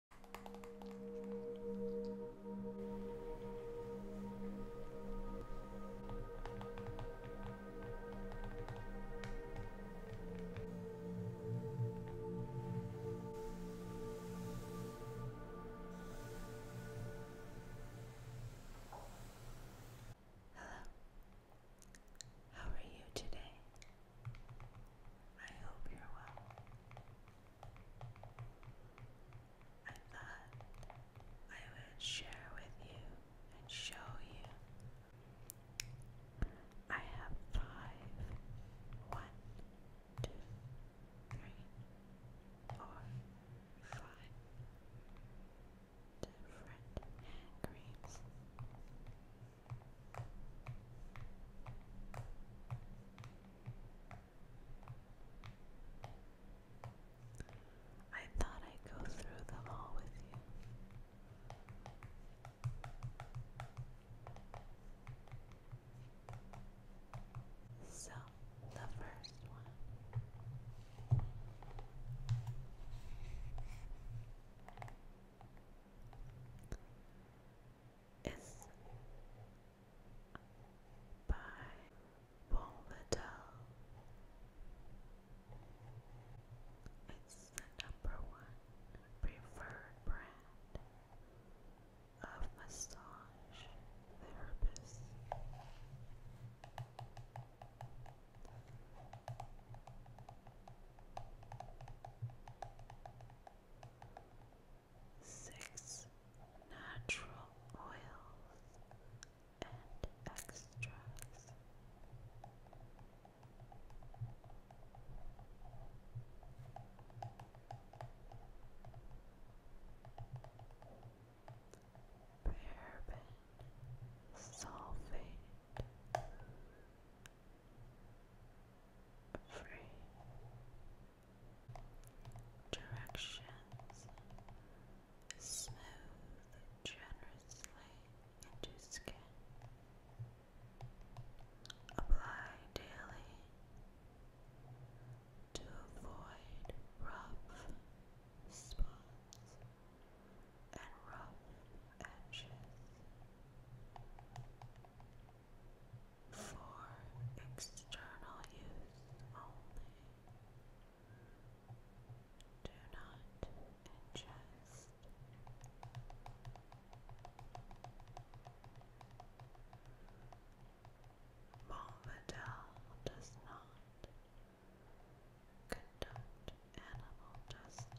Hello. How are you today? I hope you're well. I thought I would share with you and show you. I have five. One, two, different hand I thought I'd go through them all with you. So, the first one is by Paul It's the number one preferred brand of massage therapists six natural oils and extracts. Paraben, sulfate, free directions smooth generously into skin. Apply daily to avoid rough spots and rough edges for external use only. Do not ingest. Bombadil does not conduct animal testing.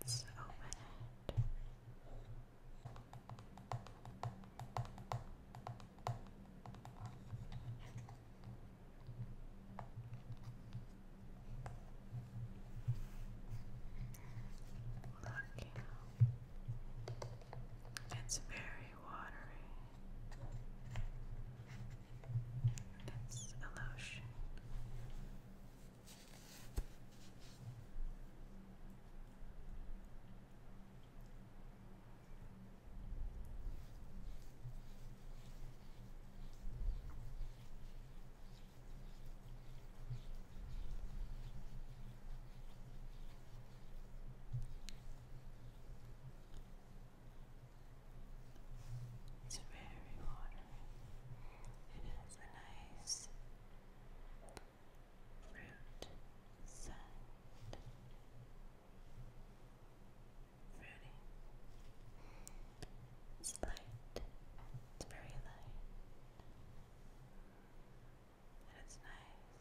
Let's open it. Look, it's very watery. It's a lotion. It's very water. It has a nice fruit scent. Fruity. It's light. It's very light. And it's nice.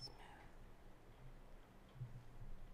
Smooth.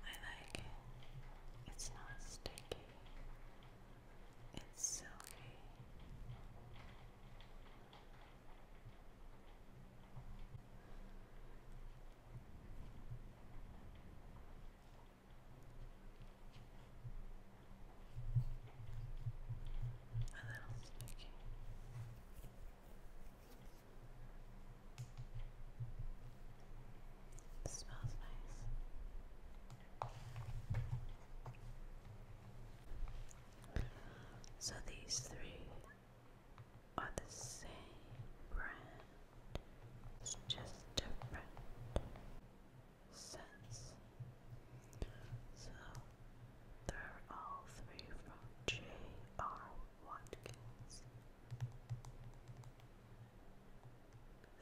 I like it. It's not sticky. It's silky. A little sticky smells nice. So these three are the same brand. just different scents. So they're all three from J.R. Watkins.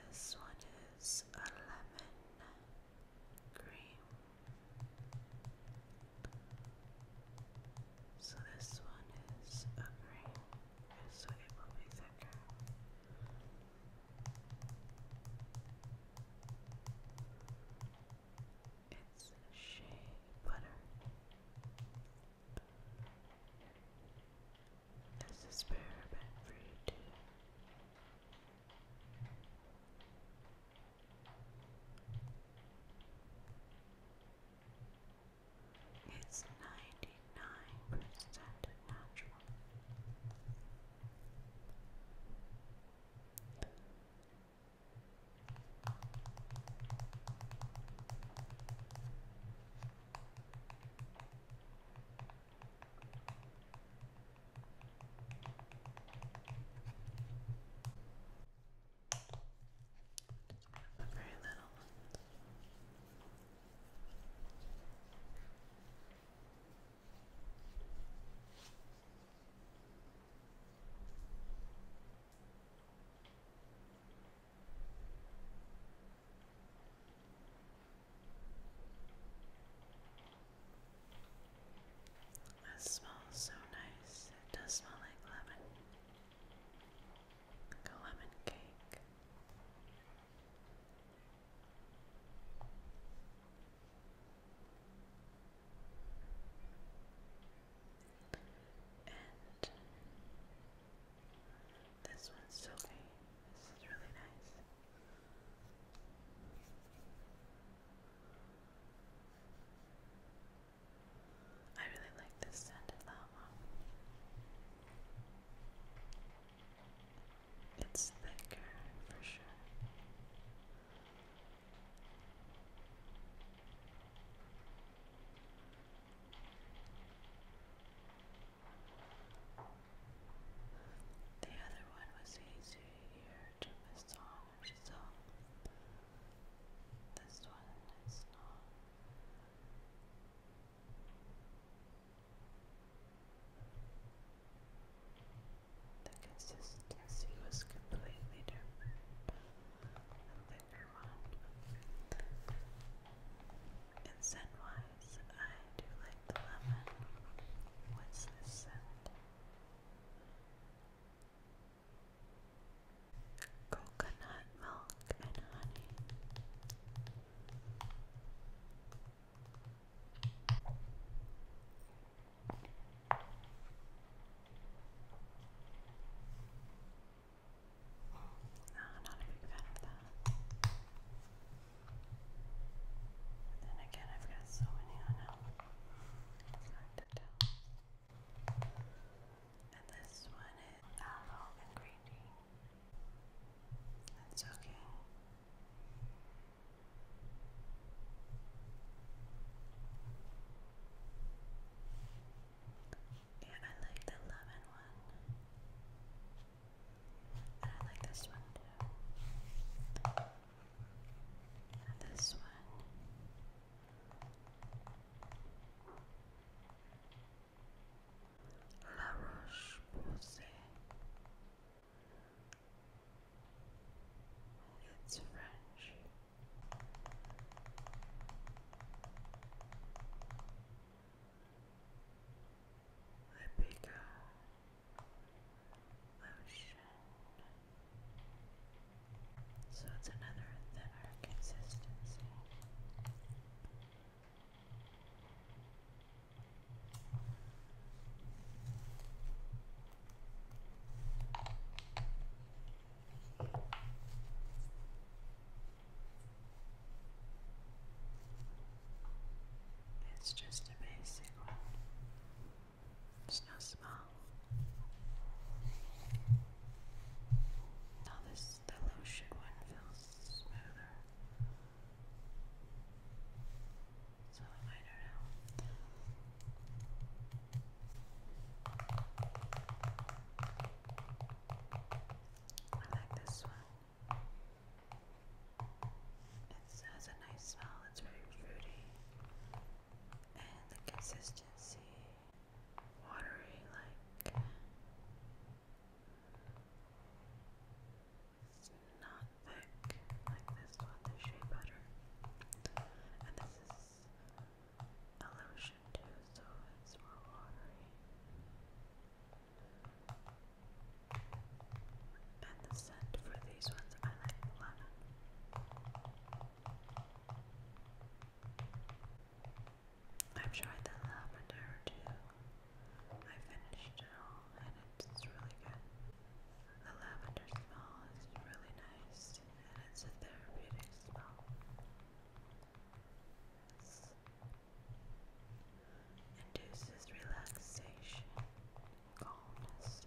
This one is a lemon cream. So this one is a green, so it will be thicker. It's shea butter. This is bourbon fruit. It's ninety nine percent natural. The very little ones. Okay. That smells so nice. It does smell like lemon. Like a lemon cake. And this one's silky. This is really nice. I really like this scent of It's thicker for sure. The other one was easier to miss on This one is not. The consistency was completely different one. And scent wise, I do like the lemon. What's this scent? Coconut milk and honey. No, not a big fan of that. then again, I've got so many on It's hard to tell. And this one is aloe and That's okay. Yeah, I like the lemon one. And I like this one too. this one. La Roche Posay. It's French a bigger ocean. So it's another thinner consistency. It's just a basic one. It's not small. Now this the lotion one feels smoother. So I do I like this one. It has a nice smell, it's very fruity. And the consistency, watery like. It's not thick like this one, the shea butter. And this is Illusion too, so it's more watery. And the scent for these ones, I like lemon. I've tried the lavender too. I finished it all and it's really good. The lavender smell is really nice and it's a therapeutic smell induces relaxation, calmness.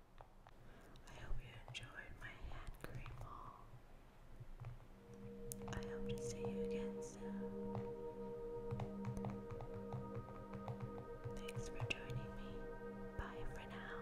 I hope you enjoyed my hand cream haul. I hope to see you again soon. Thanks for joining me. Bye for now.